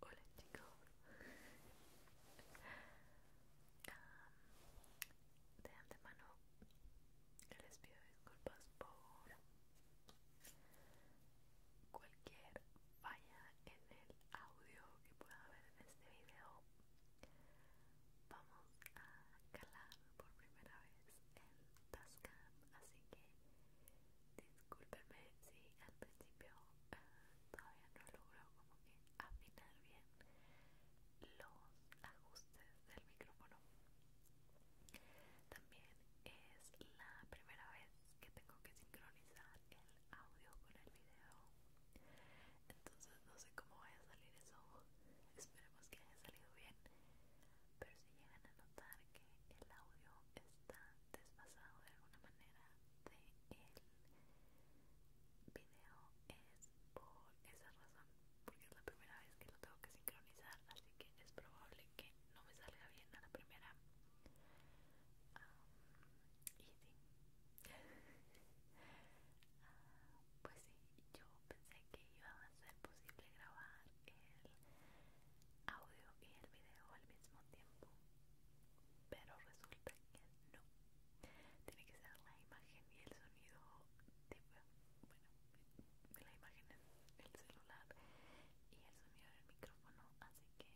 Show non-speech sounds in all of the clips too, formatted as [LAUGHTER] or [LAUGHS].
Hola chicos De antemano les pido disculpas por cualquier falla en el audio que pueda haber en este video Vamos a calar por primera vez el Tascam así que discúlpeme si al principio eh, todavía no logro como que afinar bien los ajustes del micrófono. También es la primera vez que tengo que sincronizar el audio con el video. Entonces no sé cómo vaya a salir eso. [LAUGHS] Esperemos que haya salido bien si llegan a notar que el audio está desfasado de alguna manera de video es por esa razón porque es la primera vez que lo tengo que sincronizar así que es probable que no me salga bien a la primera y [LAUGHS] ah, pues sí yo pensé que iba a ser posible grabar el audio y el video al mismo tiempo pero resulta que no tiene que ser la imagen y el sonido de, la imagen en el celular y el sonido del micrófono así que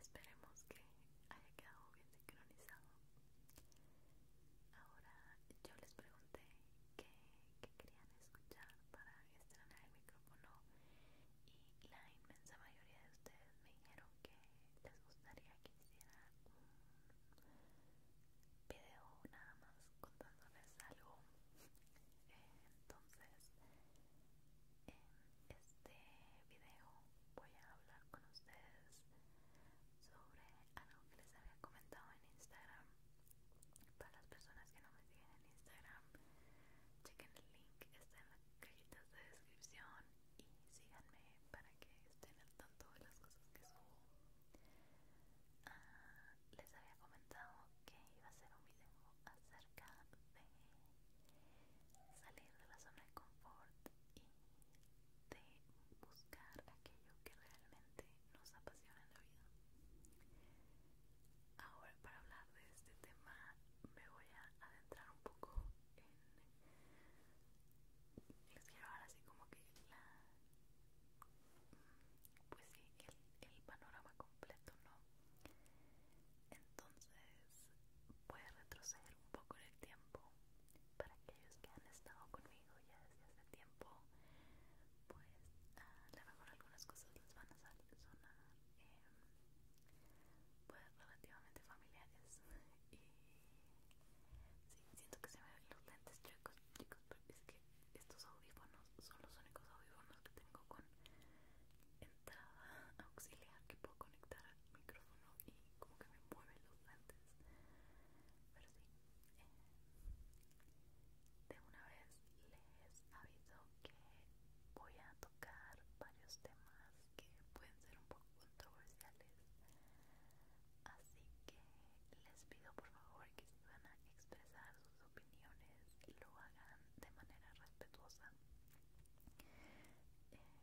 esperemos que haya quedado bien sincronizado ahora yo les pregunté que, querían escuchar para estrenar el micrófono y la inmensa mayoría de ustedes me dijeron que les gustaría que hiciera un video nada más contándoles algo entonces en este video voy a hablar con ustedes sobre algo que les había comentado en Instagram para las personas que no me siguen en Instagram, chequen el link, está en las cajitas de descripción y síganme para que estén al tanto de las cosas que subo. Ah, les había comentado que iba a hacer un video acerca de salir de la zona de confort y de buscar aquello que realmente nos apasiona en la vida. Ahora para hablar de este tema me voy a adentrar un poco en... quiero así como que la... Pues el, el panorama completo, ¿no? Entonces, voy a retroceder un poco en el tiempo para aquellos que han estado conmigo ya desde hace tiempo pues a lo mejor algunas cosas les van a sonar eh, pues relativamente familiares [LAUGHS] y siento que se me ven los lentes chicos chicos pero es que estos audífonos son los únicos audífonos que tengo con entrada auxiliar que puedo conectar al micrófono y como que me mueven los lentes pero sí de una vez les aviso que voy a tocar varios temas que pueden ser un poco controversiales así que les pido por favor que si van a expresar sus opiniones lo hagan de manera respetuosa eh,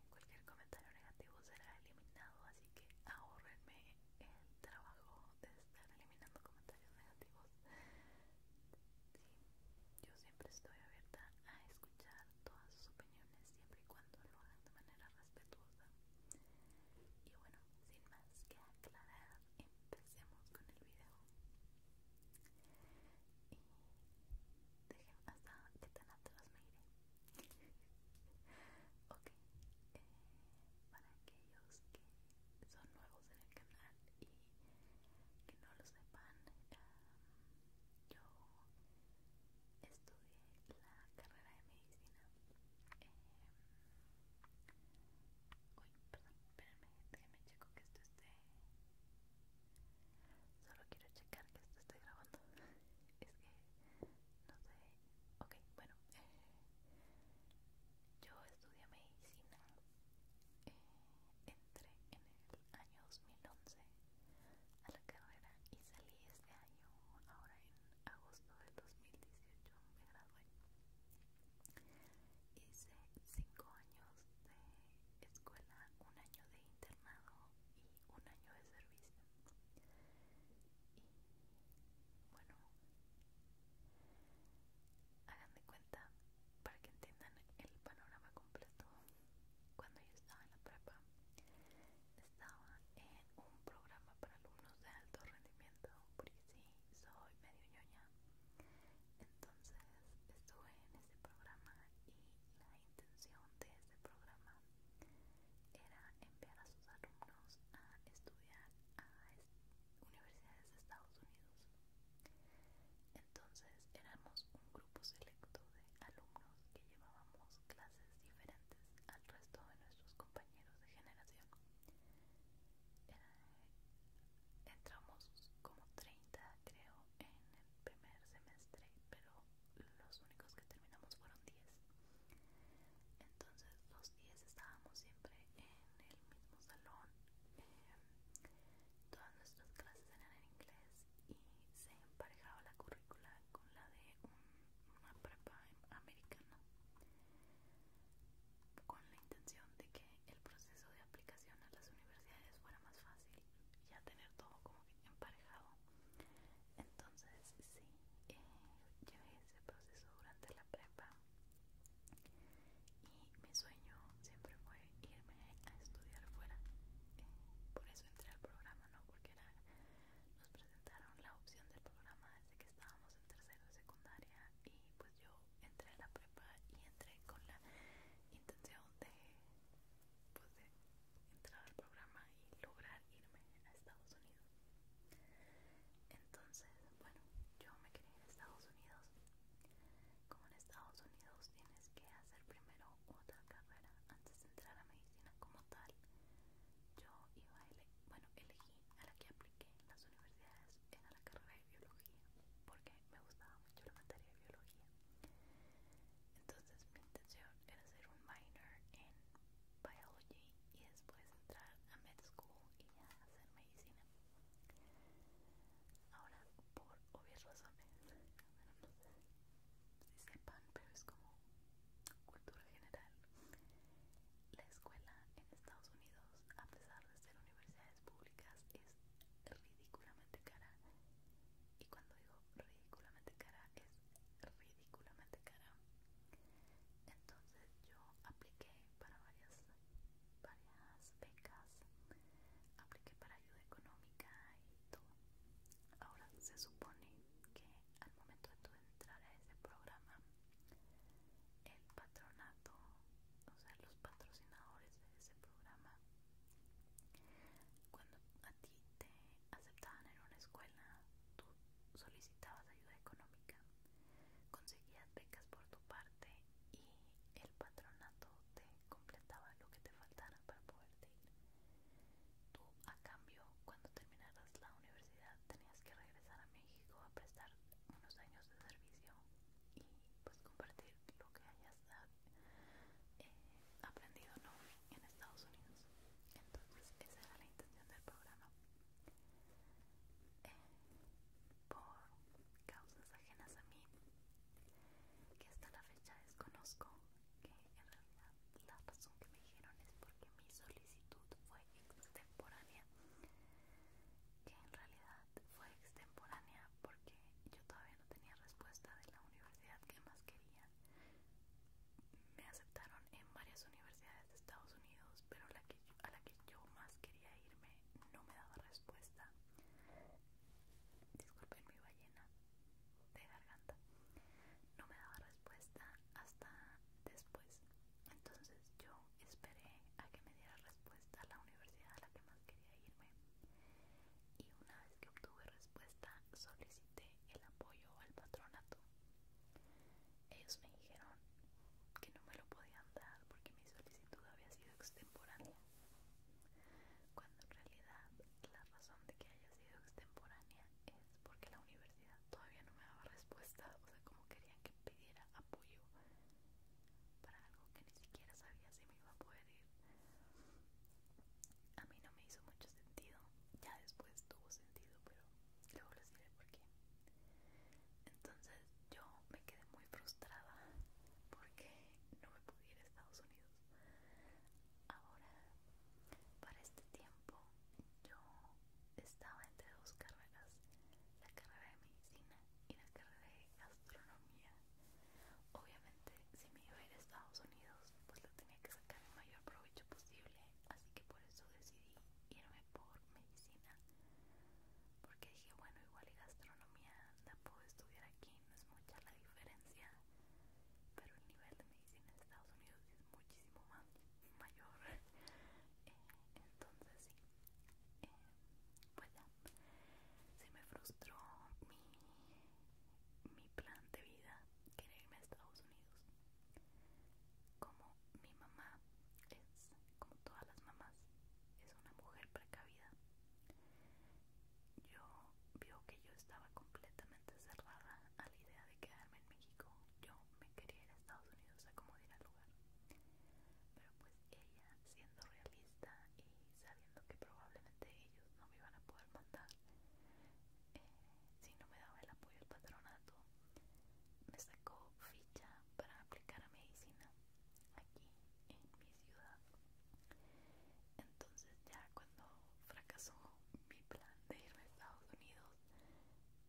cualquier comentario negativo será eliminado así que ahorrenme el trabajo de estar eliminando comentarios negativos. yo siempre estoy abierta a escuchar todas sus opiniones siempre y cuando lo hagan de manera respetuosa. Y bueno, sin más que aclarar, empecemos con el video. Y dejen hasta que tan atrás me iré. ok, eh, para aquellos que son nuevos en el canal y que no lo sepan, em, yo estudié la carrera de medicina. Em, uy, perdón, checo que esto esté. Solo quiero checar que esto esté grabando. [LAUGHS] es que no sé. Ok, bueno. Eh, yo estudié medicina, eh, entré en el año 2011 a la carrera y salí este año, ahora en agosto del 2018 me gradué. Hice 5 años de escuela, un año de internado y un año de servicio. Y bueno, hagan de cuenta para que entiendan el panorama completo. Cuando yo estaba en la prepa, estaba en un programa para alumnos de alto rendimiento, porque sí, soy medio ñoña. Entonces estuve en ese programa y la intención de ese programa era enviar a sus alumnos a estudiar a universidades de Estados Unidos. Entonces éramos un grupo selecto de alumnos que llevábamos clases diferentes al resto de nuestros compañeros de generación. entramos como 30 creo en el primer semestre, pero los únicos que terminamos fueron 10. Entonces los 10 estábamos siempre en en el mismo salón. Em, todas nuestras clases eran en inglés y se emparejaba la currícula con la de una prepa americana con la intención de que el proceso de aplicación a las universidades fuera más fácil ya tener todo como emparejado entonces sí eh, llevé ese proceso durante la prepa y mi sueño siempre fue irme a estudiar fuera eh, por eso entré al programa no porque nos presentaron la opción del programa desde que estábamos en tercero de secundaria y pues yo entré a la prepa y entré con la intención de pues de entrar al programa y lograr irme a Estados Unidos entonces, bueno, yo me quería en Estados Unidos. Como en Estados Unidos tienes que hacer primero otra carrera antes de entrar a medicina como tal. Yo iba a bueno, elegí a la que apliqué en las universidades, era la carrera de biología, porque me gustaba mucho la materia de biología. Entonces mi intención era hacer un minor en biology y después entrar a med school y ya hacer medicina Ahora, por obvias razones, no sé si sepan, pero es como cultura general. La escuela en Estados Unidos, a pesar de ser universidades públicas, es ridículamente cara. Y cuando digo ridículamente cara, es ridículamente cara. Entonces yo apliqué para varias varias becas, apliqué para ayuda económica y todo. Ahora se supone que al momento de tu entrar a ese programa, el patronato, o sea, los patrocinadores de ese programa, cuando a ti te aceptaban en una escuela, tú solicitabas ayuda económica Conseguías becas por tu parte y el patronato te completaba lo que te faltara para poderte ir. Tú, a cambio, cuando terminaras la universidad, tenías que regresar a México a prestar unos años de servicio y pues compartir lo que hayas ah, eh, aprendido en Estados Unidos. Entonces, esa era la intención del programa por causas ajenas a mí que hasta la fecha desconozco que en realidad la razón que me dijeron es porque mi solicitud fue extemporánea que en realidad fue extemporánea porque yo todavía no tenía respuesta de la universidad que más quería me aceptaron en varias universidades de Estados Unidos pero a la que yo más quería irme no me daba respuesta disculpen mi ballena de garganta no me daba respuesta hasta después entonces yo esperé a que me diera respuesta a la universidad a la que más quería irme y una vez que obtuve respuesta solicité el apoyo al patronato ellos me dijeron que no me lo podían dar porque mi solicitud había sido extemporánea, cuando en realidad la razón de que haya sido extemporánea es porque la universidad todavía no me daba respuesta, o sea, como querían que pidiera apoyo para algo que ni siquiera sabía si me iba a poder ir. A mí no me hizo mucho sentido, ya después tuvo sentido, pero luego les diré por qué. Entonces yo me quedé muy frustrada porque no me pude ir a Estados Unidos. Ahora, para este tiempo, yo estaba entre dos carreras, la carrera de medicina y la carrera de gastronomía. Obviamente, si me iba a ir a Estados Unidos, pues lo tenía que sacar el mayor provecho posible, así que por eso decidí irme por medicina porque dije bueno igual y gastronomía la puedo estudiar aquí no es mucha la diferencia pero el nivel de medicina en Estados Unidos es muchísimo más mayor [LAUGHS] entonces sí bueno eh, pues se me frustró mi mi plan de vida querer irme a Estados Unidos como mi mamá es, como todas las mamás, es una mujer precavida. Yo vio que yo estaba completamente cerrada a la idea de quedarme en México. Yo me quería ir a Estados Unidos a como al lugar. Pero pues ella, siendo realista y sabiendo que probablemente ellos no me iban a poder mandar, eh, si no me daba el apoyo del patronato, me sacó ficha para aplicar a medicina aquí en mi ciudad. Entonces ya cuando fracasó mi plan de irme a Estados Unidos,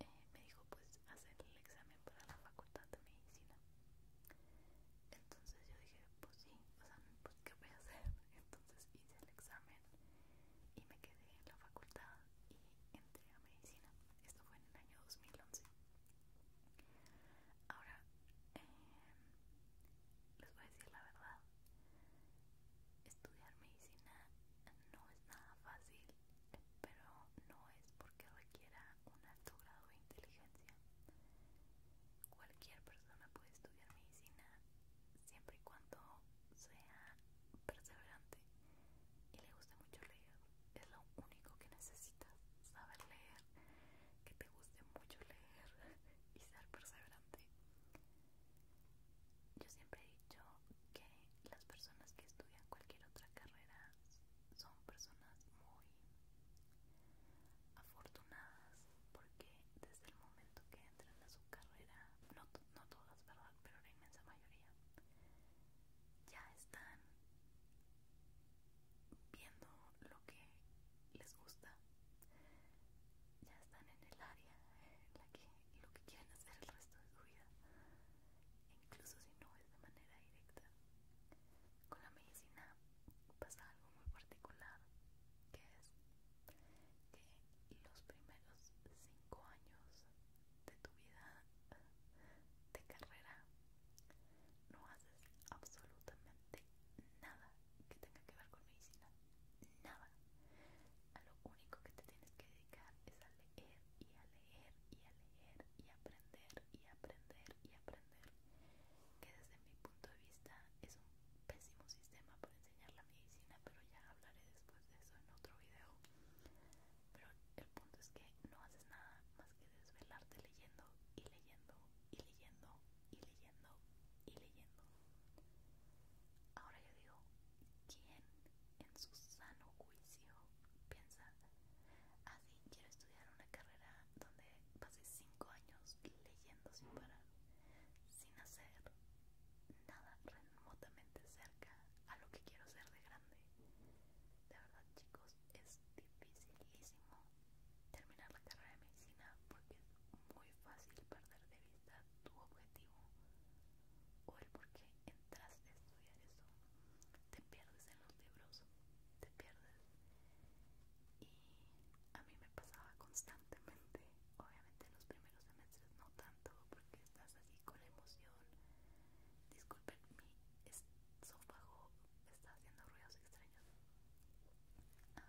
eh, me dijo pues hacer el examen para la facultad de medicina. Entonces yo dije, pues sí, o sea, pues qué voy a hacer. [LAUGHS] Entonces hice el examen y me quedé en la facultad y entré a medicina. Esto fue en el año 2011. Ahora, em, les voy a decir la verdad, estudiar medicina no es nada fácil, pero no es porque requiera un alto grado de inteligencia. Cualquier persona puede estudiar medicina siempre y cuando sea perseverante y le gusta mucho leer. Es lo único que necesitas, saber leer, que te guste mucho leer y ser perseverante. Yo siempre he dicho que las personas que estudian cualquier otra carrera son personas muy afortunadas porque desde el momento que entran a su carrera, no, no todas, ¿verdad? Pero la inmensa mayoría, ya están viendo lo que les gusta ya están en el área en la que lo que quieren hacer el resto de su vida incluso si no es de manera directa con la medicina pasa algo muy particular que es que los primeros cinco años de tu vida de carrera no haces absolutamente nada que tenga que ver con medicina nada a lo único que te tienes que dedicar es a leer y a leer y a leer y aprender y aprender y aprender que desde mi punto de vista es un pésimo sistema para enseñar la medicina pero ya hablaré después de eso en otro video pero el punto es que no haces nada más que desvelarte leyendo y leyendo y leyendo y leyendo y leyendo. Ahora yo digo, ¿quién en su sano juicio piensa, así ah, quiero estudiar una carrera donde pase cinco años leyendo sin parar, sin hacer nada remotamente cerca a lo que quiero hacer de grande? De verdad, chicos, es dificilísimo terminar la carrera de medicina porque es muy fácil perder de vista tu objetivo o el porque entraste a estudiar eso. Te pierdes en los libros, te pierdes. Y a mí me pasaba constantemente, obviamente en los primeros semestres no tanto porque estás así con la emoción pero mi esófago está haciendo ruidos extraños. Ah,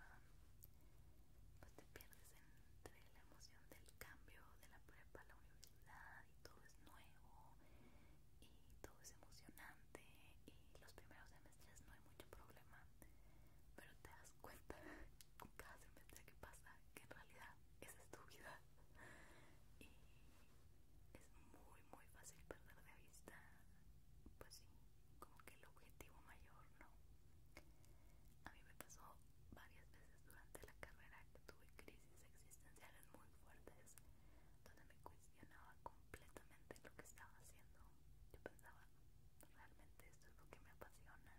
pues te pierdes entre la emoción del cambio de la prepa a la universidad y todo es nuevo y todo es emocionante y los primeros semestres no hay mucho problema pero te das cuenta [LAUGHS] con cada semestre que pasa que en realidad esa es tu vida y es muy muy fácil perder de vista pues sí como que el objetivo mayor no a mí me pasó varias veces durante la carrera que tuve crisis existenciales muy fuertes donde me cuestionaba completamente lo que estaba haciendo yo pensaba realmente esto es lo que me apasiona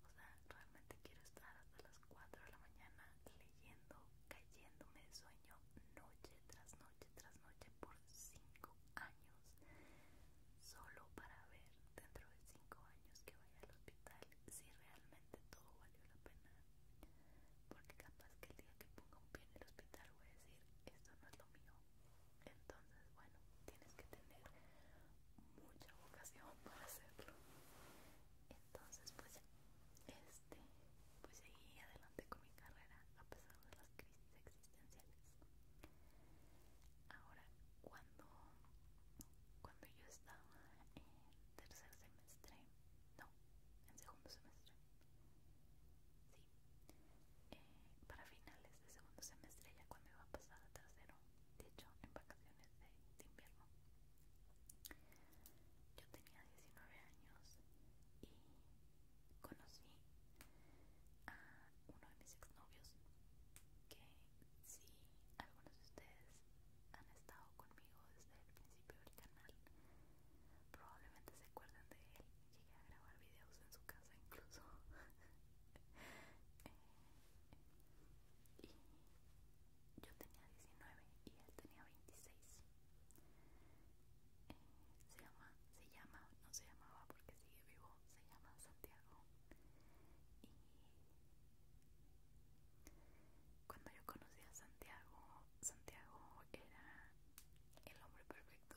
o sea realmente quiero estar hasta las 4 de la mañana leyendo, cayéndome de sueño noche tras noche tras noche por cinco años, solo para ver dentro de cinco años que vaya al hospital si realmente todo valió la pena. Porque capaz que el día que ponga un pie en el hospital voy a decir, esto no es lo mío. Entonces, bueno, tienes que tener mucha vocación [LAUGHS] para hacerlo. Entonces, pues, Es este, pues seguí adelante con mi carrera a pesar de las crisis existenciales. Ahora, cuando, cuando yo estaba en tercer semestre, no, en segundo semestre, sí, eh, para finales de segundo semestre, ya cuando iba a pasar a tercero, de hecho, en vacaciones de invierno yo tenía 19 años y conocí a uno de mis exnovios que si algunos de ustedes han estado conmigo desde el principio del canal probablemente se acuerdan de él llegué a grabar videos en su casa incluso [LAUGHS] eh, y yo tenía 19 y él tenía 26 eh, se llama se llama no se llamaba porque sigue vivo se llama Santiago y cuando yo conocí a Santiago Santiago era el hombre perfecto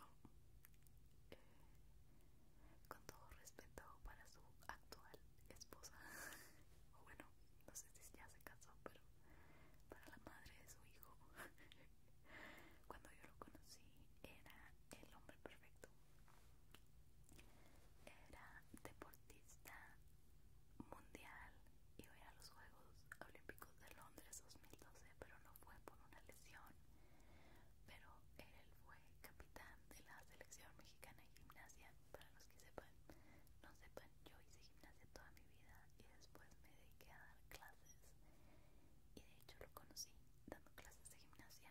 eh, con todo respeto para su actual esposa [LAUGHS] o bueno no ya se casó, pero para la madre de su hijo. [LAUGHS] Cuando yo lo conocí, era el hombre perfecto. Era deportista mundial, y a a los Juegos Olímpicos de Londres 2012, pero no fue por una lesión. Pero él fue capitán de la selección mexicana de gimnasia para los que sepan, no sepan, yo hice gimnasia toda mi vida y después me dediqué a dar clases y de hecho lo conocí dando clases de gimnasia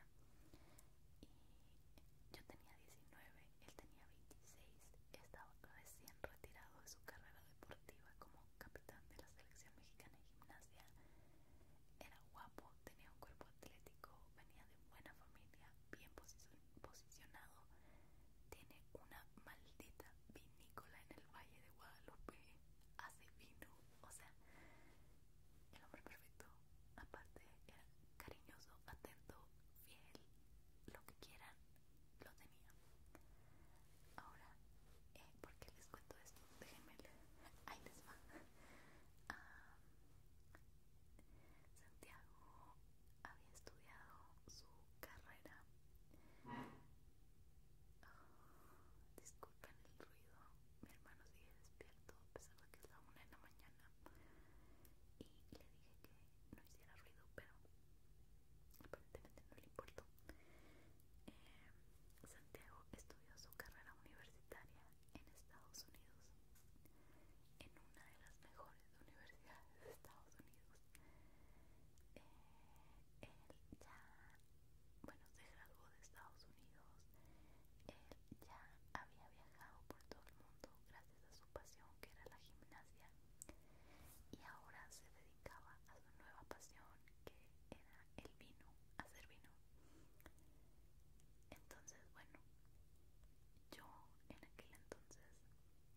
y yo tenía 19, él tenía 26, estaba recién retirado de su carrera deportiva como capitán de la selección mexicana de gimnasia, era guapo, tenía un cuerpo atlético, venía de buena familia, bien posicionado posicionado tiene una maldita vinícola en el Valle de Guadalupe hace vino, o sea, el hombre perfecto, aparte era cariñoso, atento, fiel, lo que quieran, lo tenía. Ahora, eh, ¿por qué les cuento esto? Déjenme, ahí les va. Ah, Santiago había estudiado su carrera. Ah, disculpen el ruido, mi hermano sigue despierto a pesar de que es la una de la mañana. Y le dije que no hiciera ruido, pero aparentemente no le importó. Eh, Santiago estudió su carrera universitaria en Estados Unidos en una de las mejores universidad universidades de Estados Unidos. Eh, él ya, bueno, se graduó de Estados Unidos. Él ya había viajado por todo el mundo gracias a su pasión que era la gimnasia. Y ahora se dedicaba a su nueva pasión que era el vino, hacer vino. Entonces, bueno, yo en aquel entonces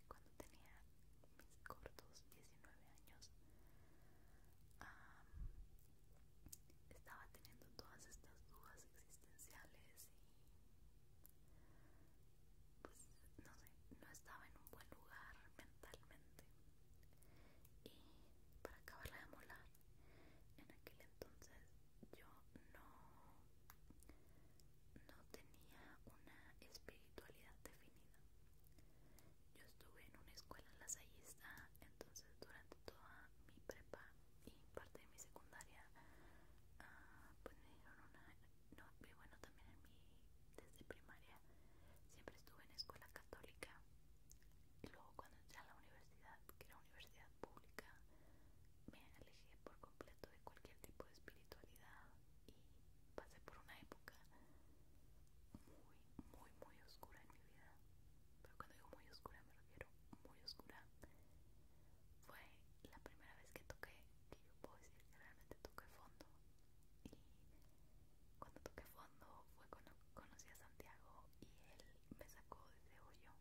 cuando tenía mis cortos 19 años estaba teniendo todas estas dudas existenciales y pues no sé, no estaba en un buen lugar mentalmente y para acabarla de molar en aquel entonces yo no no tenía una espiritualidad definida. Yo estuve en una escuela lasallista, entonces durante toda mi prepa y parte de mi secundaria, ah, pues me dieron una. No, bueno, también en desde primaria, siempre estuve en escuela católica. Y luego, cuando entré a la universidad, que era universidad pública, me alejé por completo de cualquier tipo de espiritualidad y pasé por una época muy, muy, muy oscura en mi vida. Pero cuando digo muy oscura me refiero muy oscura. Fue la primera vez que toqué, que yo puedo decir que realmente toqué fondo. Y cuando toqué fondo fue cuando conocí a Santiago y él me sacó de ese hoyo.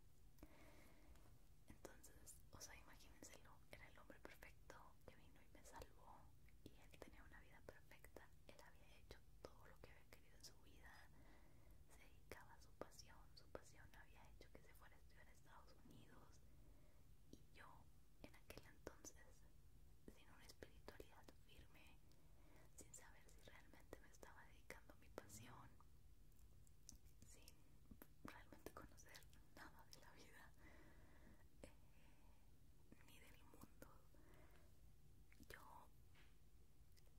Entonces, o sea, imagínenselo, era el hombre perfecto, que vino y me salvó y él tenía una vida perfecta, él había hecho todo lo que había querido en su vida, se dedicaba a su pasión, su pasión había hecho que se fuera a estudiar a Estados Unidos y yo en aquel entonces, sin una espiritualidad firme, sin saber si realmente me estaba dedicando a mi pasión, sin realmente conocer nada de la vida eh, ni del mundo.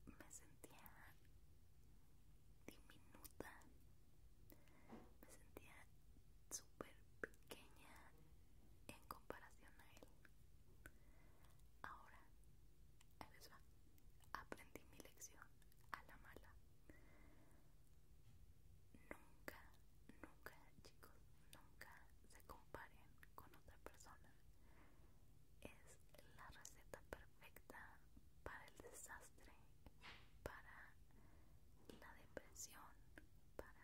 Yo me sentía diminuta, me sentía súper pequeña en comparación a él. Ahora, ahí Aprendí mi lección a la mala nunca, nunca chicos, nunca se comparen con otra persona. Es la receta perfecta para el desastre, para la depresión, para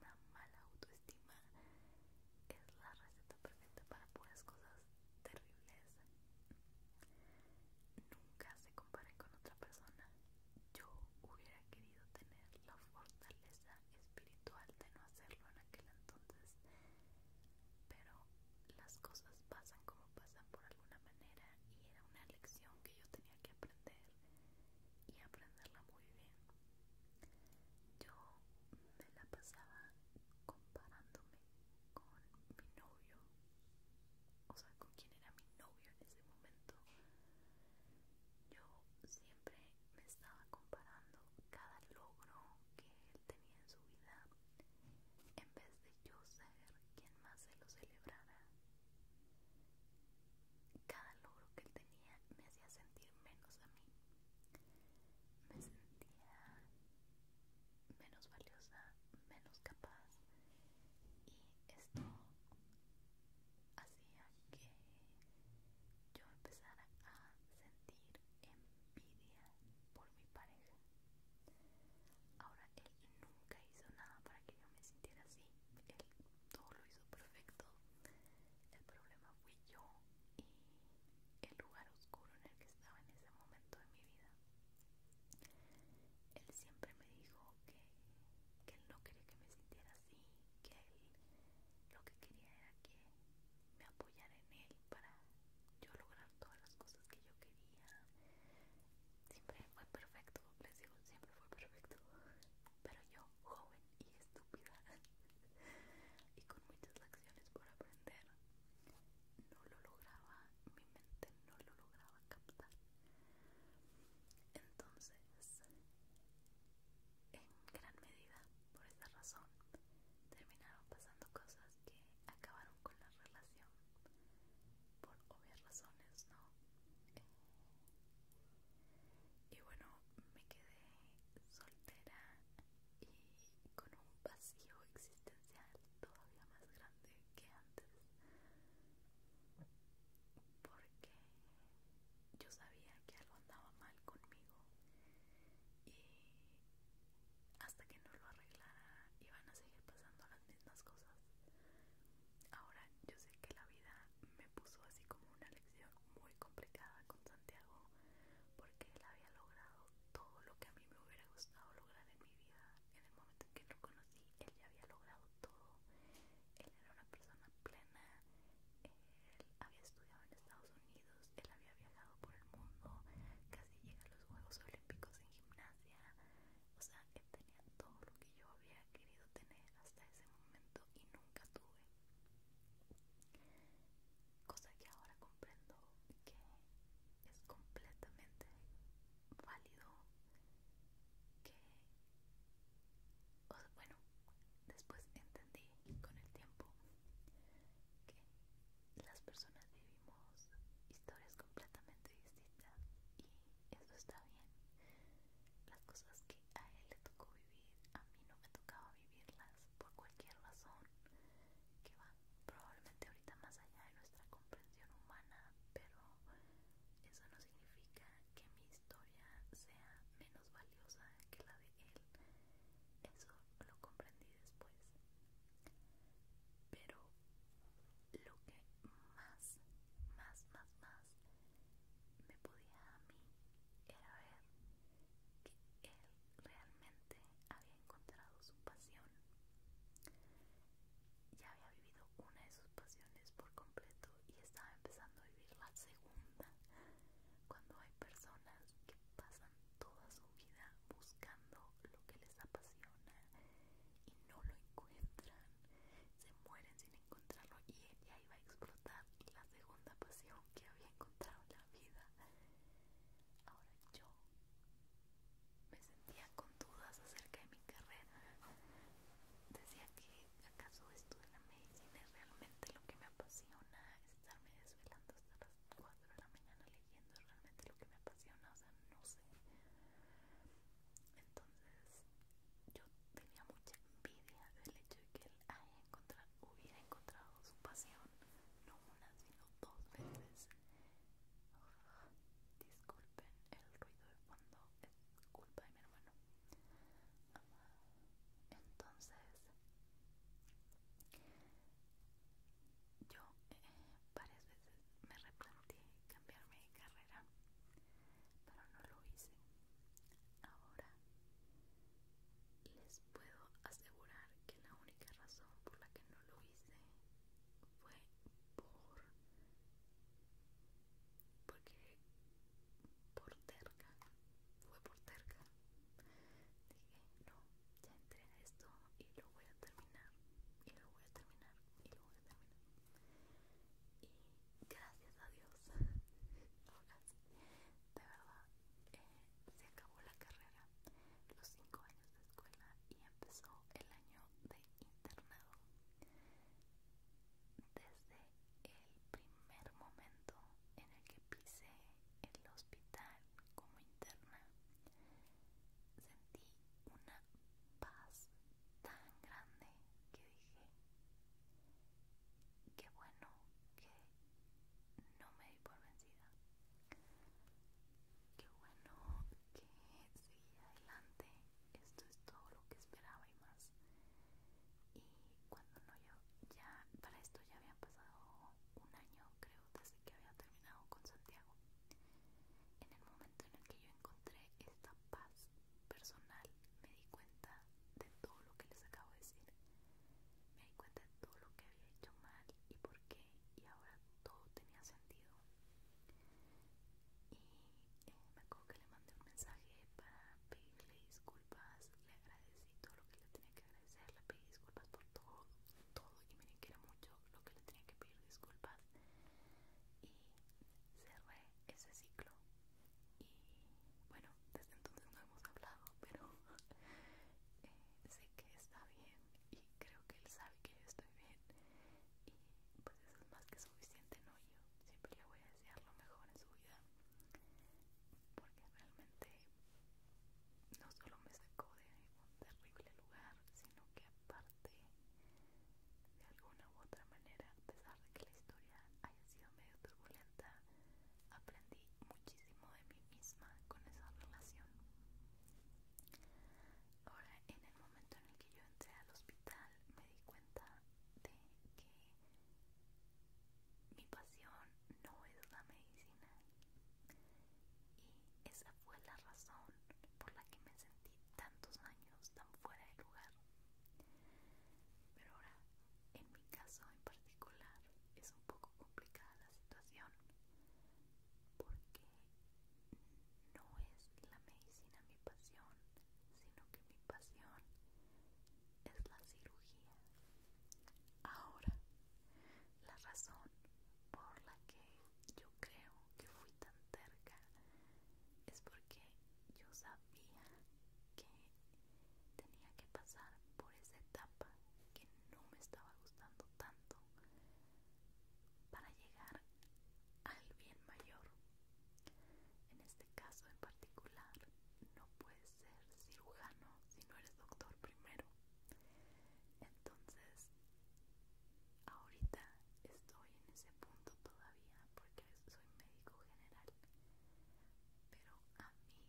una mala autoestima. Es la receta perfecta para puras cosas terribles. Nunca se comparen con otra persona. Yo hubiera querido tener la fortaleza espiritual de no hacerlo en aquel entonces, pero las cosas pasan como pasan por alguna manera y era una lección que yo tenía que aprender y aprenderla muy bien. Yo me la pasaba comparándome con mi novio o sea, con quien era mi novio en ese momento, yo siempre me estaba comparando cada logro que él tenía en su vida en vez de yo ser quien más se lo celebrara. Cada logro que él tenía me hacía sentir menos a mí. Me sentía menos valiosa, menos capaz, y esto hacía que yo empezara a sentir envidia por mi pareja. Ahora él nunca hizo nada para que yo me sintiera así, él todo lo hizo perfecto. El problema fui yo y el lugar oscuro en el que estaba en ese momento de mi vida. Él siempre me dijo que, él no quería que me sintiera así, que él lo que quería era que me apoyara en él para yo lograr todas las cosas que yo quería. Siempre fue perfecto, les digo, siempre fue perfecto. Pero yo, joven y estúpida, [LAUGHS] y con muchas lecciones por aprender, no lo lograba, mi mente no lo lograba captar. Entonces, en gran medida, por esta razón, terminaron pasando cosas que acabaron con la relación, por obvias razones, ¿no? Eh, y bueno, me quedé soltera y con un vacío existencial todavía más grande que antes porque yo sabía que algo andaba mal conmigo y hasta que no lo arreglara iban a seguir pasando las mismas cosas ahora yo sé que la vida me puso así como una lección muy complicada con Santiago porque él había logrado todo lo que a mí me hubiera gustado lograr en mi vida en el momento en que lo conocí él ya había logrado todo él era una persona plena él había estudiado en Estados Unidos él había viajado por el mundo casi llega a los Juegos Olímpicos en gimnasia o sea él tenía todo lo que yo había querido tener hasta ese momento y nunca tuve cosa que ahora comprendo que es completamente válido que bueno después entendí con el tiempo que las personas vivimos historias completamente distintas y eso está bien las cosas que a él le tocó vivir a mí no me tocaba vivirlas por cualquier razón que va probablemente ahorita más allá de nuestra comprensión humana pero eso no significa que mi historia sea menos valiosa que la de él. Eso lo comprendí después. Pero lo que más, más, más, más me podía a mí era ver que él realmente había encontrado su pasión ya había vivido una de sus pasiones por completo y estaba empezando a vivir la segunda. Cuando hay personas que pasan toda su vida buscando lo que les apasiona y no lo encuentran, se mueren sin encontrarlo y ella iba a explotar la segunda pasión que había encontrado en la vida. Ahora yo me sentía con dudas acerca de mi carrera. Decía que acaso estudiar la medicina es realmente lo que me apasiona, estarme desvelando hasta las 4 de la mañana leyendo es realmente lo que me apasiona, o sea, no sé. Entonces, yo tenía mucha envidia del hecho de que él hubiera encontrado su pasión, no una, sino dos veces. Disculpen el ruido de fondo, culpa de mi hermano. Entonces, yo eh, varias veces me replanteé cambiarme de carrera, pero no lo hice. Ahora les puedo asegurar que la única razón por la que no lo hice fue por porque por terca, fue por terca. Dije, no, ya entré en esto y lo voy a terminar, y lo voy a terminar, y lo voy a terminar. Y gracias a Dios, [LAUGHS] de verdad, eh, se acabó la carrera, los cinco años de escuela y empezó el año de internado. Desde el primer momento en el que pisé el hospital como interna, sentí una paz tan grande que dije, qué bueno que no me di por vencida, qué bueno que seguí adelante esto es todo lo que esperaba y más. Y cuando no, yo ya, para esto ya había pasado un año, creo, desde que había terminado con Santiago. En el momento en el que yo encontré esta paz personal, me di cuenta de todo lo que les acabo de decir. Me di cuenta de todo lo que había hecho mal y por qué, y ahora todo tenía sentido. Y me acuerdo que le mandé un mensaje para pedirle disculpas, le agradecí todo lo que le tenía que agradecer, le pedí disculpas por todo, todo y me que mucho lo que le tenía que pedir disculpas y cerré ese ciclo y bueno, desde entonces no hemos hablado, pero [LAUGHS] eh, sé que está bien y creo que él sabe que yo estoy bien y pues eso es más que suficiente, ¿no? yo siempre le voy a desear lo mejor en su vida porque realmente no solo me sacó de un terrible lugar sino que aparte de alguna u otra manera a pesar de que la historia haya sido medio turbulenta aprendí muchísimo de mí misma con esa relación Ahora, en el momento en el que yo entré al hospital, me di cuenta de que mi pasión no es la medicina. Y esa fue la razón por la que me sentí tantos años tan fuera de lugar. Pero ahora, en mi caso en particular, es un poco complicada la situación porque no es la medicina mi pasión, sino que mi pasión es la cirugía. Ahora, la razón por la que yo creo que fui tan terca es porque yo sabía que tenía que pasar por esa etapa que no me estaba gustando tanto para llegar al bien mayor en este caso en particular, no puedes ser cirujano si no eres doctor primero. Entonces, ahorita estoy en ese punto todavía porque soy médico general. Pero a mí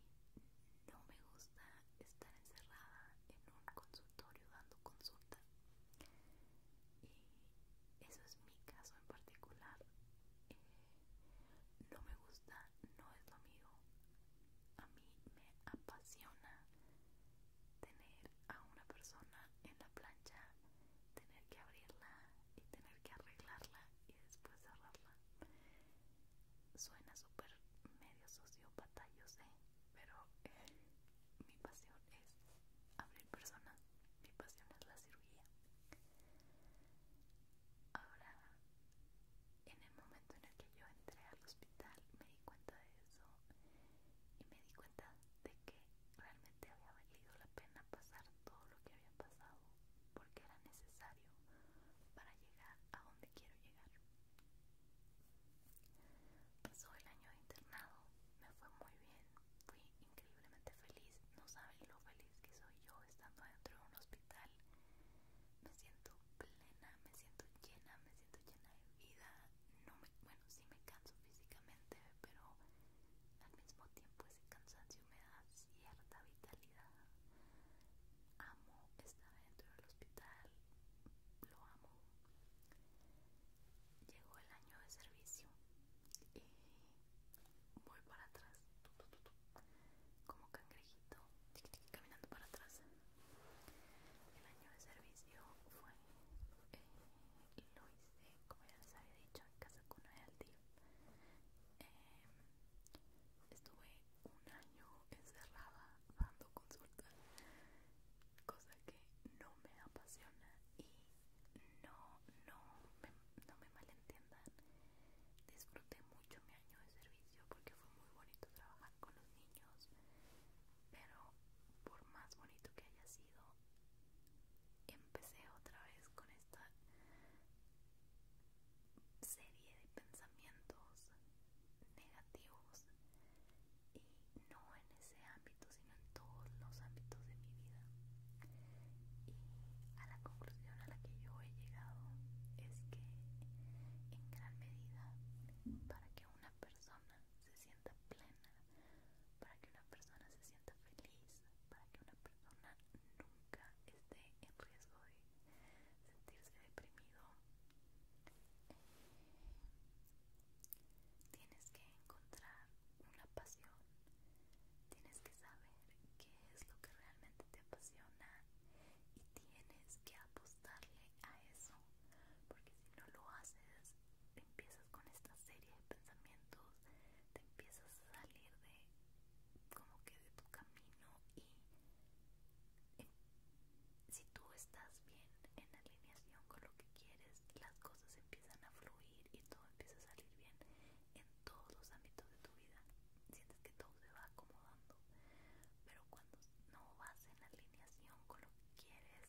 no me gusta estar encerrada en un consultorio dando consulta y eso es mi caso en particular eh, no me gusta no es lo mío a mí me apasiona tener a una persona en la plancha tener que abrirla y tener que arreglarla y después cerrarla suena súper medio sociópata yo sé pero eh, mi pasión es abrir personas mi pasión es la cirugía. Ahora, en el momento en el que yo entré al hospital, me di cuenta de eso y me di cuenta de que realmente había valido la pena pasar todo lo que había pasado porque era necesario para llegar a donde quiero llegar. Pasó el año de internado, me fue muy bien, Fui increíblemente feliz, no saben lo feliz que soy yo estando dentro de un hospital. Me siento plena, me siento llena, me siento llena de vida. No me, bueno, sí me canso físicamente, pero al mismo tiempo ese cansancio me da cierta vitalidad. Amo estar dentro del hospital, lo amo. Llegó el año de servicio y voy para atrás como cangrejito caminando para atrás el año de servicio fue eh, lo hice como ya les había dicho en casa con el tío em, estuve un año encerrada dando consulta cosa que no me apasiona y no, no, me, no me malentiendan. Disfruté mucho mi año de servicio porque fue muy bonito trabajar con los niños. Pero por más bonito que haya sido, empecé otra vez con esta serie de pensamientos negativos y no en ese ámbito, sino en todos los ámbitos de mi vida. Y a la conclusión a la que yo he llegado es que en gran medida para que una persona se sienta plena, para que una persona se sienta feliz, para que una persona nunca esté en riesgo de sentirse deprimido, tienes que encontrar una pasión, tienes que saber qué es lo que realmente te apasiona y tienes que apostarle a eso, porque si no lo haces, empiezas con esta serie de pensamientos, te empiezas a salir de como que de tu camino y em, si tú estás bien en alineación con lo que quieres, las cosas empiezan a fluir y todo empieza a salir bien en todos los ámbitos de tu vida. Sientes que todo se va acomodando, pero cuando no vas en alineación con lo que quieres,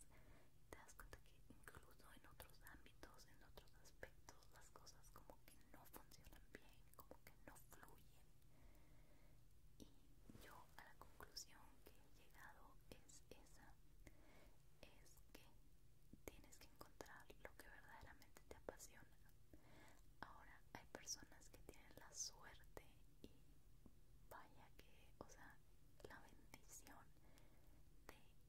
te das cuenta que incluso en otros ámbitos, en otros aspectos, las cosas como que no funcionan bien, como que no fluyen. Y yo a la conclusión que he llegado es esa, es que tienes que encontrar lo que verdaderamente te apasiona. Ahora hay personas que tienen la suerte y vaya que, o sea, la bendición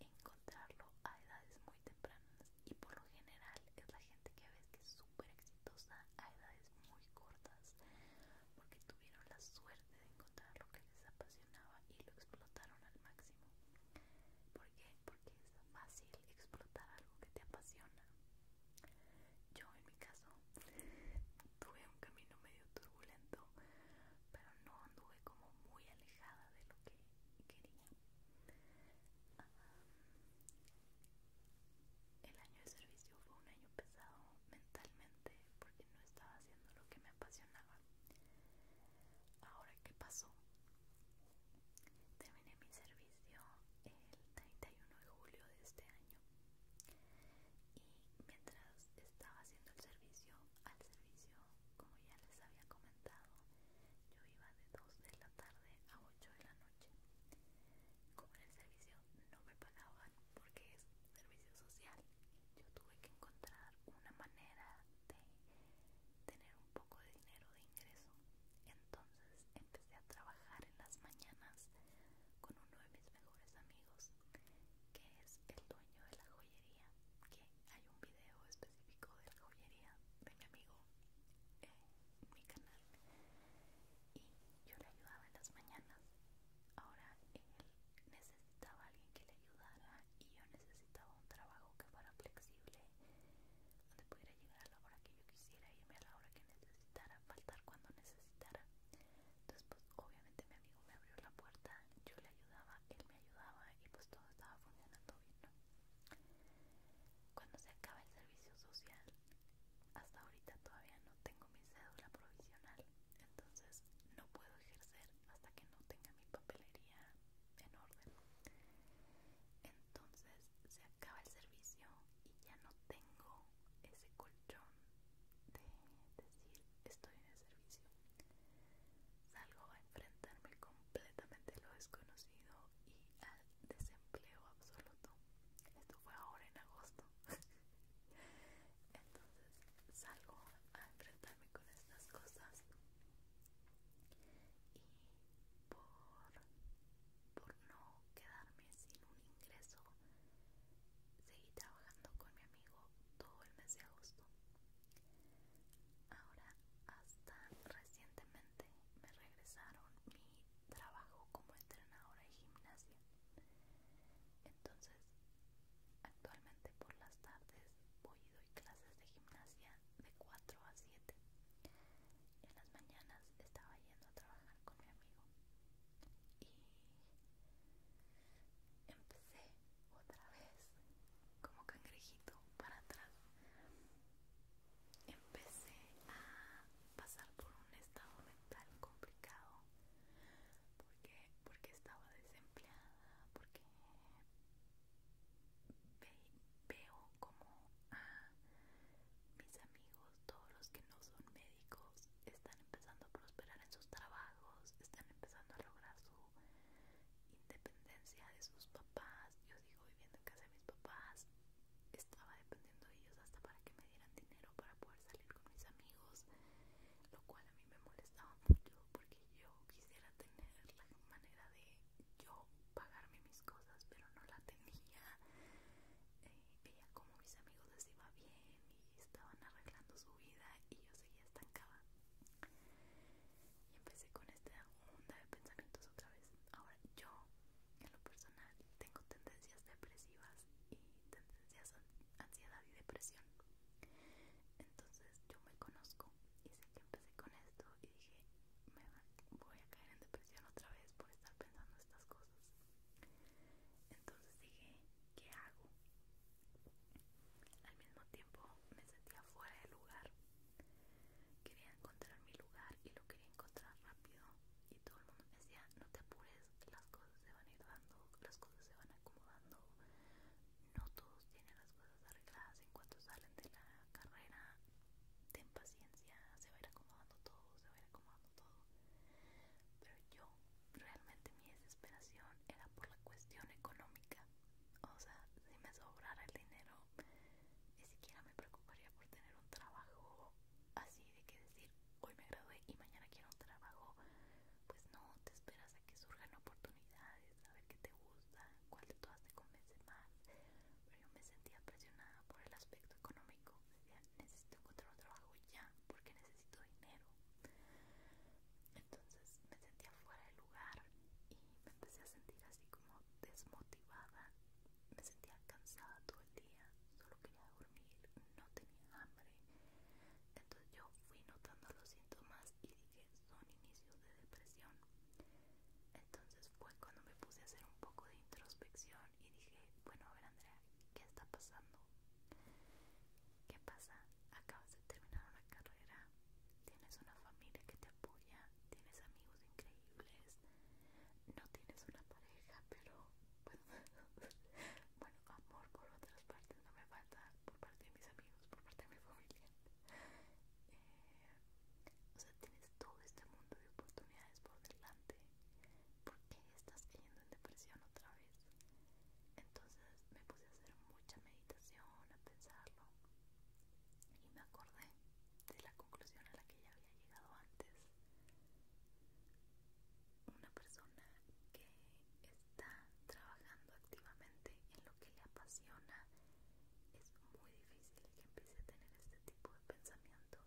de encontrarlo a edades muy tempranas y por lo general es la gente que ves que es súper exitosa a edades muy cortas porque tuvieron la suerte de encontrarlo lo que les apasionaba y lo explotaron al máximo. ¿Por qué? Porque es fácil explotar algo que te apasiona. Yo en mi caso tuve un camino medio turbulento, pero no anduve como muy alejada de lo que quería. Ah, el año de servicio fue un año pesado mentalmente porque no estaba haciendo lo que me apasionaba. Ahora, ¿qué pasó? Terminé mi servicio el 31 de julio de este año y mientras estaba haciendo el servicio, al servicio, como ya les había comentado, yo iba de 2 de la tarde a 8 de la noche. Como en el servicio no me pagaban porque es servicio social, yo tuve que encontrar una manera tener un poco de dinero de ingreso. Entonces empecé a trabajar en las mañanas con uno de mis mejores amigos, que es el dueño de la joyería, que hay un video específico de la joyería de mi amigo en eh, mi canal. Y yo le ayudaba en las mañanas. Ahora él necesitaba alguien que le ayudara y yo necesitaba un trabajo que fuera flexible, donde pudiera llegar a la hora que yo quisiera, irme a la hora que necesitara, faltar cuando necesitara. Entonces pues, obviamente mi amigo me abrió la puerta, yo le ayudaba, él me ayudaba y pues todo estaba funcionando bien, Cuando se acaba el servicio social, hasta ahorita todavía no tengo mi cédula provisional, entonces no puedo ejercer hasta que no tenga mi papelería en orden entonces se acaba el servicio y ya no tengo ese colchón de decir estoy en el servicio salgo a enfrentarme completamente a lo desconocido y al desempleo absoluto esto fue ahora en agosto [LAUGHS] entonces salgo a enfrentarme con estas cosas y por, no quedarme sin un ingreso seguí trabajando con mi amigo todo el mes de agosto ahora hasta recientemente me regresaron mi trabajo como entrenadora de gimnasia entonces Actualmente por las tardes voy y doy clases de gimnasia de 4 a 7. En las mañanas estaba yendo a trabajar con mi amigo y empecé otra vez como cangrejito para atrás. Empecé a pasar por un estado mental complicado porque porque estaba desempleada, porque veo como mis amigos, todos los que no son médicos, están empezando a prosperar en sus trabajos, están empezando a lograr su independencia de sus papás. Yo sigo viviendo en casa de mis papás, estaba dependiendo de ellos hasta para que me dieran dinero para poder salir con mis amigos, lo cual a mí me molestaba mucho porque yo quisiera tener la manera de yo pagarme mis cosas, pero no la tenía. Eh, veía como mis amigos les iba bien y estaban arreglando su vida y yo seguía estancada. Y empecé con esta onda de pensamientos otra vez. Ahora yo, en lo personal, tengo tendencias depresivas y tendencias a ansiedad y depresión entonces yo me conozco y sé que empecé con esto y dije me voy a caer en depresión otra vez por estar pensando estas cosas entonces dije ¿qué hago? al mismo tiempo me sentía fuera de lugar quería encontrar mi lugar y lo quería encontrar rápido y todo el mundo me decía no te apures las cosas se van a ir dando las cosas se van acomodando no todos tienen las cosas arregladas en cuanto salen de la carrera. Ten paciencia, se va a ir acomodando todo, se va a ir acomodando todo. Pero yo, realmente mi desesperación era por la cuestión económica. O sea, si me sobrara el dinero, ni siquiera me preocuparía por tener un trabajo así de que decir, hoy me gradué y mañana quiero un trabajo. Pues no, te esperas que surjan oportunidades, a ver qué te gusta, cuál de todas te convence más. Pero yo me sentía presionada por el aspecto económico. Decía, necesito encontrar un trabajo ya, porque necesito dinero. Entonces me sentía fuera de lugar y me empecé a sentir así como desmotivada. Me sentía cansada todo el día, solo quería dormir, no tenía hambre. Entonces yo fui notando los síntomas y son inicios de depresión. Entonces fue cuando me puse a hacer un poco de introspección y dije, bueno, a ver Andrea, ¿qué está pasando? ¿Qué pasa? Acabas de terminar una carrera, tienes una familia que te apoya, tienes amigos increíbles, no tienes una pareja, pero bueno, [LAUGHS] bueno amor por otras partes no me falta, por parte de mis amigos, por parte de mi familia. Eh, o sea, tienes todo este mundo de oportunidades por delante. ¿Por qué estás cayendo en depresión otra vez? Entonces me puse a hacer mucha meditación, a pensarlo. Y me acordé de la conclusión a la que ya había llegado antes. Una persona que está trabajando activamente en lo que le apasiona, es muy difícil que empiece a tener este tipo de pensamientos.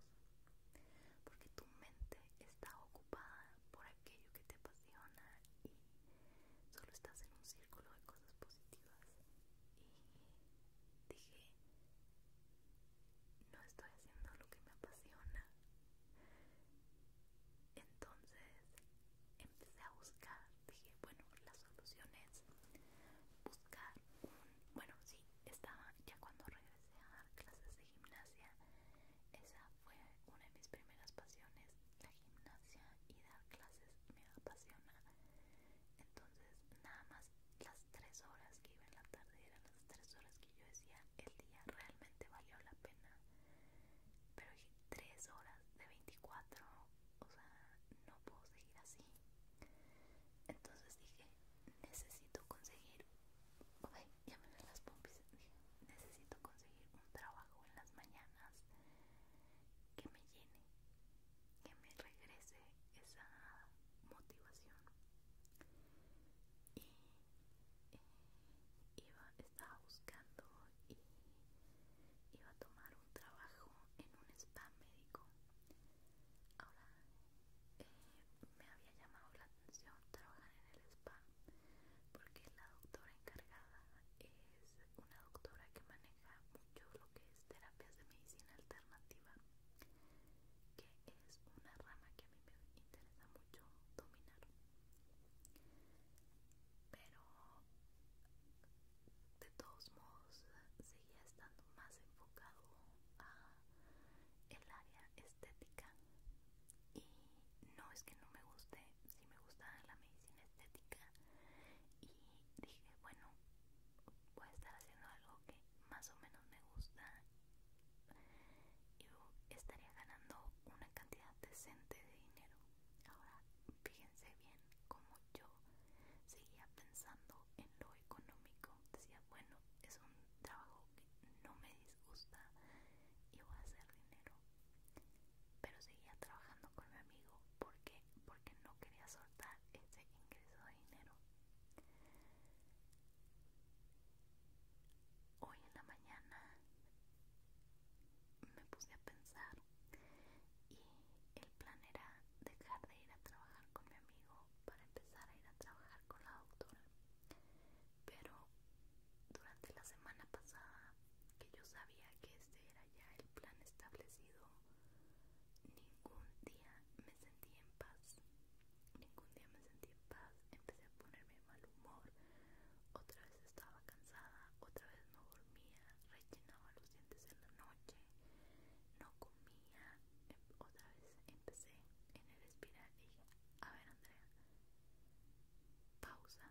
Porque tu mente está ocupada por aquello que te apasiona y solo estás en un círculo de cosas positivas. Y dije, no estoy haciendo lo que me apasiona. Entonces empecé a buscar, dije, bueno, la solución es buscar bueno, sí, estaba ya cuando regresé a dar clases de gimnasia, esa fue una de mis primeras pasiones, la gimnasia y dar clases me apasiona, entonces nada más las tres horas que iba en la tarde eran las tres horas que yo decía, el día realmente valió la pena, pero dije, tres horas de 24 o sea, no puedo seguir así. Entonces dije, necesito conseguir, ok, ya las pompis, dije, necesito conseguir un trabajo en las mañanas que me llene, que me regrese esa motivación. Y eh, estaba buscando y iba a tomar un trabajo en un spa médico. Ahora eh, me había llamado la atención trabajar en el spa porque la doctora encargada es una doctora que maneja mucho lo que es terapias de medicina alternativa, que es una rama que a mí me interesa mucho dominar pero de todos modos seguía estando más enfocado a el área estética y no es que no me guste si me gustaba la medicina estética y dije bueno voy a estar haciendo algo que más o menos me gusta y estaría ganando una cantidad decente de dinero Ahora fíjense bien como yo seguía pensando en lo económico. Decía, bueno, es un trabajo que no me disgusta y voy a hacer dinero. Pero seguía trabajando con mi amigo. ¿Por Porque no quería soltar ese ingreso de dinero. Hoy en la mañana me puse a pensar y el plan era dejar de ir a trabajar con mi amigo para empezar a ir a trabajar con la doctora pero durante la semana pasada que yo sabía que este era ya el plan establecido ningún día me sentí en paz ningún día me sentí en paz empecé a ponerme mal humor otra vez estaba cansada, otra vez no dormía, rellenaba los dientes en la noche, no comía, em, otra vez empecé en el espiral y dije, a ver Andrea, pausa,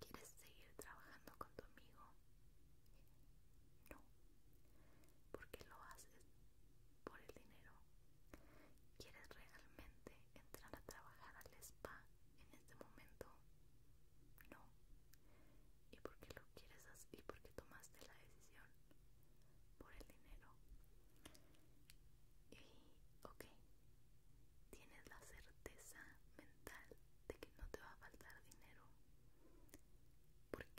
¿quieres seguir trabajando con tu amigo? No, porque lo haces por el dinero. ¿Quieres realmente entrar a trabajar al spa en este momento no y por qué lo quieres así y por qué tomaste la decisión por el dinero y ok tienes la certeza mental de que no te va a faltar dinero porque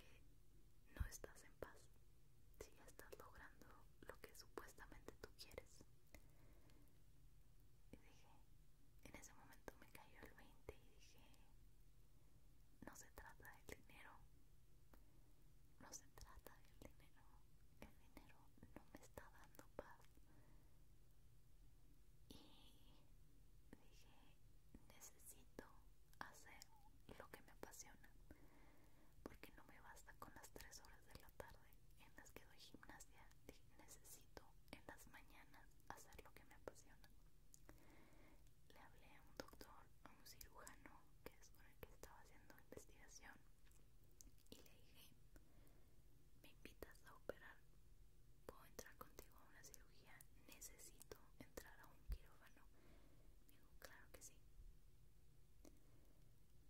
no estás en paz si ya estás logrando lo que supuestamente tú quieres y dije, en ese momento me cayó el 20 y dije, no se trata del dinero, no se trata del dinero, el dinero no me está dando paz. Y dije, necesito hacer lo que me apasiona, porque no me basta con las tres horas de la tarde en las que doy gimnasia necesito en las mañanas hacer lo que me apasiona. Le hablé a un doctor, a un cirujano que es con el que estaba haciendo investigación y le dije, me invitas a operar, puedo entrar contigo a una cirugía, necesito entrar a un quirófano. Y claro que sí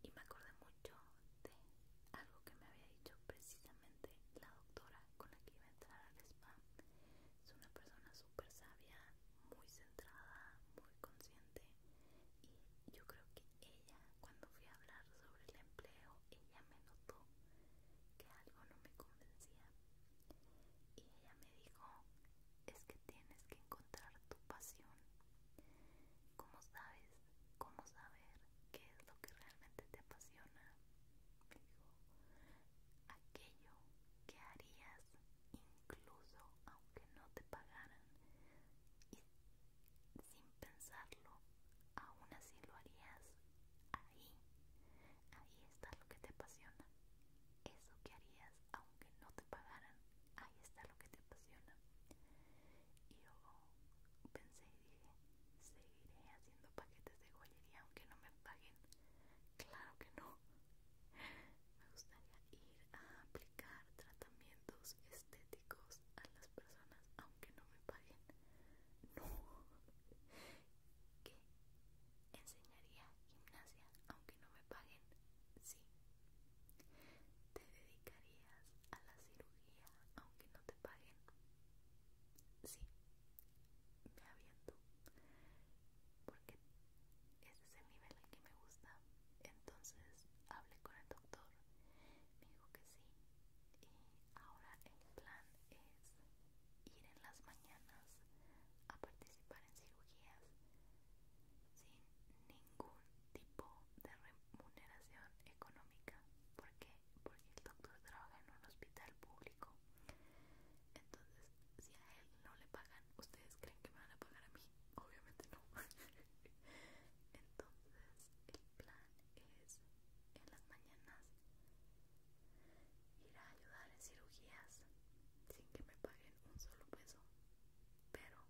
y me acordé mucho de algo que me había dicho precisamente la doctora con la que iba a entrar al spa. Es una persona súper sabia, muy centrada, muy consciente y yo creo que ella cuando fui a hablar sobre el empleo, ella me notó que algo no me convencía y ella me dijo es que tienes que encontrar tu pasión ¿Cómo sabes? ¿Cómo saber qué es lo que realmente te apasiona? dijo, aquello que harías incluso aunque no te pagaran y sin pensarlo, aún así lo harías ahí. Ahí está lo que te apasiona. Eso que harías aunque no te pagaran, ahí está lo que te apasiona. Y yo pensé y dije, seguiré haciendo paquetes de joyería aunque no me paguen. Claro que no. [LAUGHS] Me gustaría ir a aplicar tratamientos estéticos a las personas aunque no me paguen. No. ¿Qué? ¿Enseñaría gimnasia aunque no me paguen? Sí. ¿Te dedicarías a la cirugía aunque no te paguen. Sí, me aviento. Porque ese es el nivel al que me gusta. Entonces hablé con el doctor. Me dijo que sí. Y ahora el plan es ir en las mañanas a participar en cirugías sin ningún tipo de remuneración económica porque porque el doctor trabaja en un hospital público entonces si a él no le pagan ustedes creen que me van a pagar a mí obviamente no [LAUGHS] entonces el plan es en las mañanas ir a ayudar en cirugías sin que me paguen un solo peso pero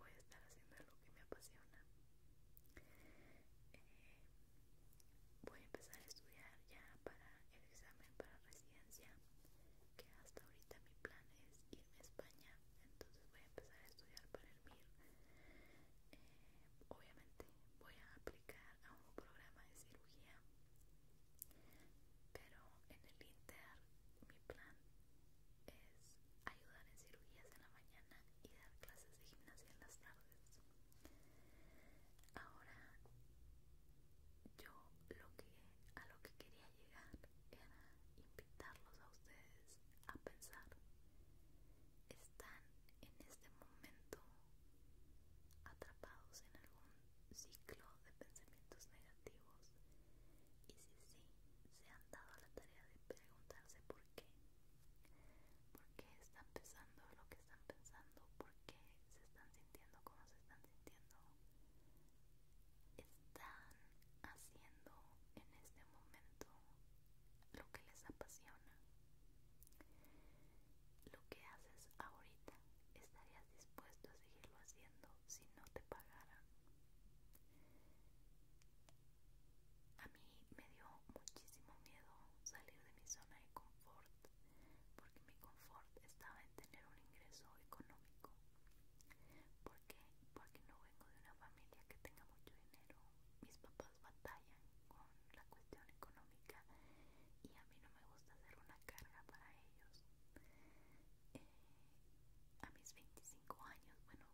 voy a estar haciendo lo que me apasiona eh, voy a empezar a estudiar ya para el examen para residencia, que hasta ahorita mi plan es irme a España, entonces voy a empezar a estudiar para el MIR. Eh, obviamente voy a aplicar a un programa de cirugía, pero en el Inter mi plan es ayudar en cirugías en la mañana y dar clases de gimnasia en las tardes. Ahora yo lo que a lo que quería llegar era invitarlos a ustedes a pensar. Están en este momento atrapados en algún ciclo de pensamientos negativos y si sí se han dado la tarea de preguntarse por qué por qué están pensando lo que están pensando, por qué se están sintiendo como se están sintiendo. Están haciendo en este momento lo que les apasiona. Lo que haces ahorita, ¿estarías dispuesto a seguirlo haciendo si no te pagaran? A mí me dio muchísimo miedo salir de mi zona de confort, porque mi confort estaba en tener un ingreso económico. ¿Por Porque no vengo de una familia que tenga mucho dinero. Mis papás batallan con la cuestión económica y a mí no me gusta ser una carga para ellos. Eh, a mis 25 años, bueno,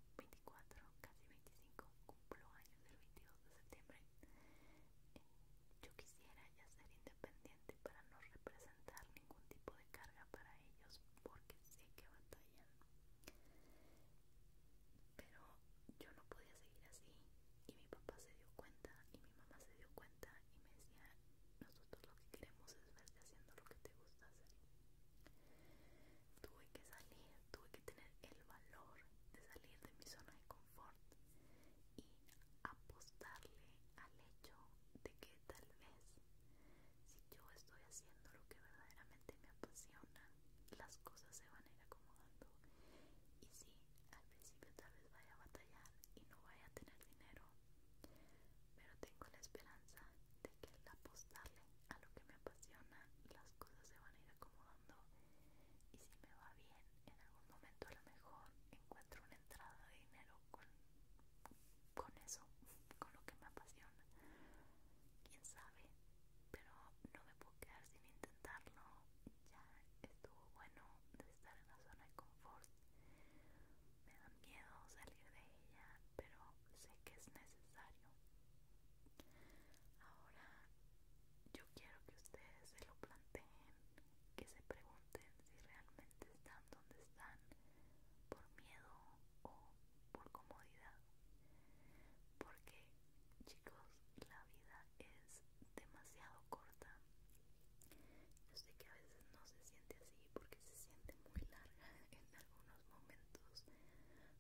casi 25, cumplo años el 22 de septiembre. Eh, yo quisiera ya ser independiente para no representar ningún tipo de carga para ellos porque sé que batallan. Pero yo no podía seguir así y mi papá se dio cuenta y mi mamá se dio cuenta y me decía, nosotros lo que queremos es verte haciendo lo que te gusta hacer. Tuve que salir, tuve que tener el valor de salir de mi zona de confort y apostarle al hecho de que tal vez si yo estoy haciendo lo que verdaderamente me apasiona, las cosas se van a ir acomodando. Y si, al principio tal vez vaya a batallar y no vaya a tener dinero, pero tengo la esperanza de que al apostarle a lo que me apasiona las cosas se van a ir acomodando y si me va bien en algún momento a lo mejor encuentro una entrada de dinero con, con eso, [LAUGHS] con lo que me apasiona quién sabe pero no me puedo quedar sin intentarlo ya estuvo bueno de estar en la zona de confort me da miedo salir de ella pero sé que es necesario Ahora yo quiero que ustedes se lo planteen, que se pregunten si realmente están donde están por miedo o por comodidad. Porque chicos, la vida es demasiado corta. Yo sé que a veces no se siente así porque se siente muy larga [LAUGHS] en algunos momentos,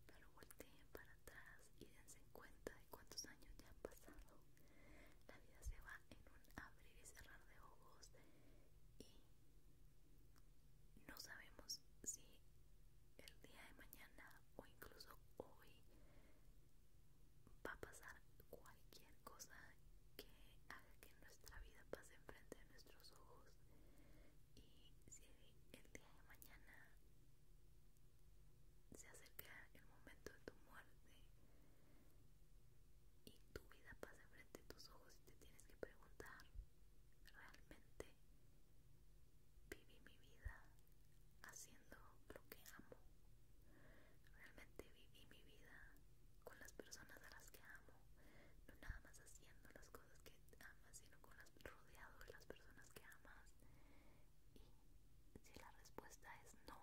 pero volteen para y dense cuenta de cuántos años ya han pasado. La vida se va en un abrir y cerrar de ojos y no sabemos si el día de mañana o incluso hoy va a pasar cualquier cosa que haga que nuestra vida pase enfrente de nuestros ojos y si el día de mañana se acerca el momento de tu muerte y tu vida pasa frente a tus ojos y te tienes que preguntar, ¿realmente viví mi vida haciendo lo que amo? ¿Realmente viví mi vida con las personas a las que amo? No nada más haciéndolas cosas que amas, sino con las rodeado de las personas que amas. Y si la respuesta es no,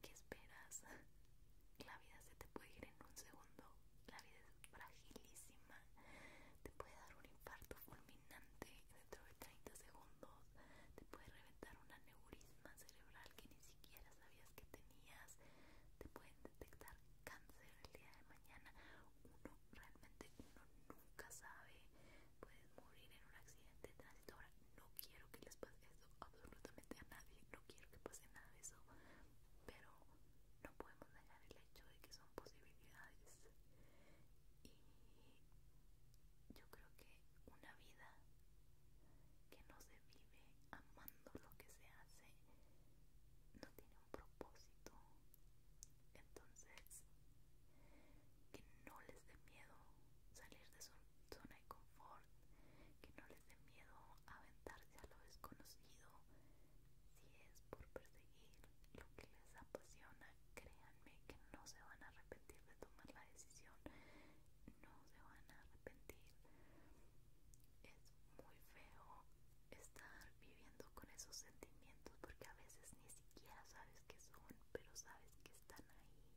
¿qué esperas? [LAUGHS] La vida se te puede ir en un segundo. La vida es fragilísima. Te puede dar un infarto fulminante dentro de 30 segundos. Te puede reventar un aneurisma cerebral que ni siquiera sabías que tenías. Te pueden detectar cáncer el día de uno realmente nunca sabe puedes morir en un accidente de tránsito ahora no quiero que les pase eso absolutamente a nadie no quiero que pase nada de eso pero no podemos negar el hecho de que son posibilidades y yo creo que una vida que no se vive amando lo que se hace no tiene propósito. Entonces, que no les dé miedo salir de su zona de confort, que no les dé miedo aventarse a lo desconocido. Si es por perseguir lo que les apasiona, créanme que no se van a arrepentir de tomar la decisión, no se van a arrepentir. Es muy feo estar viviendo con esos sentimientos porque a veces ni siquiera sabes qué son, pero sabes que están ahí.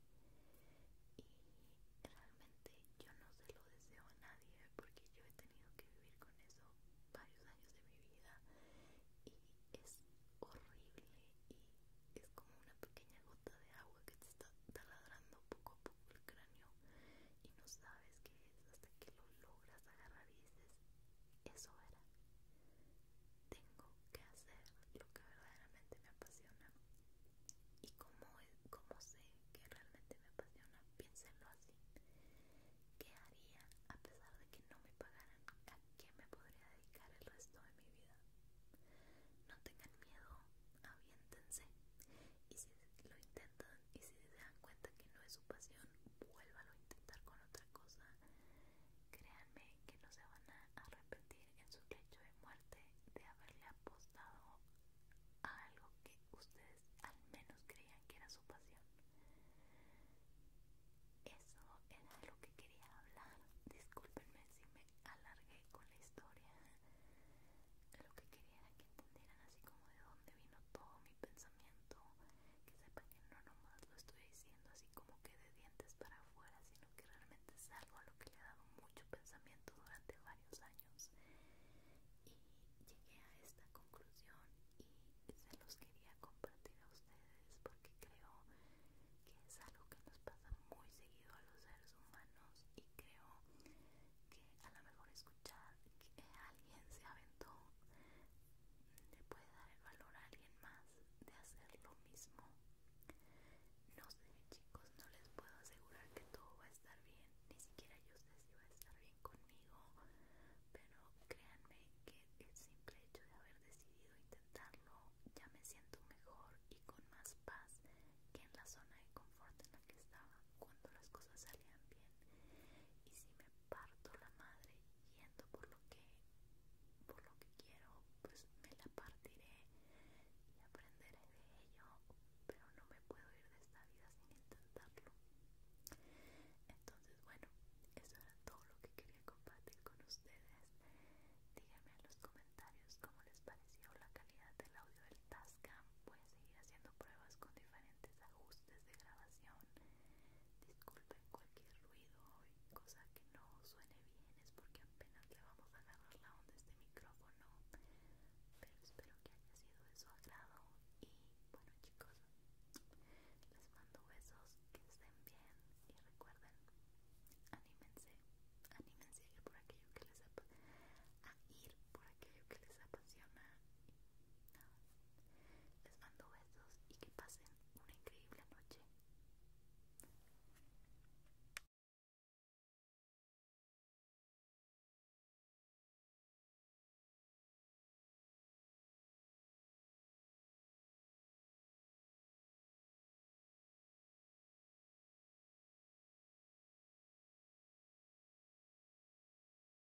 Y realmente yo no se lo deseo a nadie porque yo he tenido que vivir con eso varios años de mi vida y es horrible y es como una pequeña gota de agua que te está taladrando poco a poco el cráneo y no sabes qué es hasta que lo logras agarrar y dices, eso era. Tengo que hacer lo que verdaderamente me apasiona. Y como, como sé que realmente me apasiona, piénsenlo así. ¿Qué haría a pesar de que no me pagaran? ¿A qué me podría dedicar el resto de mi vida? No tengan miedo, aviéntense. Y si lo intentan y si se dan cuenta que no es su pasión, Vuelvalo a intentar con otra cosa. Créanme que no se van a arrepentir en su lecho de muerte de haberle apostado a algo que ustedes al menos creían que era su pasión. Eso era lo que quería hablar. Discúlpenme si me alargué con la historia. Lo que quería era que entendieran así como de dónde vino todo mi pensamiento, que sepan que no nomás lo estoy diciendo así como que de dientes para afuera, sino que realmente es algo a lo que le he dado mucho pensamiento durante varios años y llegué a esta conclusión y se los quería compartir a ustedes porque creo que es algo que nos pasa muy seguido a los seres humanos y creo que a lo mejor escuchar que alguien se aventó le puede dar el valor a alguien más de hacer lo mismo. No sé chicos, no les puedo asegurar que todo va a estar bien, ni siquiera yo sé si va a estar bien conmigo, pero créanme que el simple hecho de haber decidido intentarlo ya me siento mejor y con más paz que en la zona de confort en la que estaba cuando las cosas salían bien. Y si me parto la madre yendo por lo que por lo que quiero pues me la partiré y aprenderé de ello pero no me puedo ir de esta vida sin intentarlo entonces bueno eso era todo lo que quería compartir con ustedes díganme en los comentarios cómo les pareció la calidad del audio del Tascam voy a seguir haciendo pruebas con diferentes ajustes de grabación Disculpen cualquier ruido o cosa que no suene bien, es porque apenas le vamos a agarrar la onda a este micrófono. Pero espero que haya sido de su agrado. Y bueno, chicos, les mando besos, que estén bien y recuerden, anímense, anímense por aquello que les, a ir por aquello que les apasiona. Les mando besos y que pasen una increíble noche.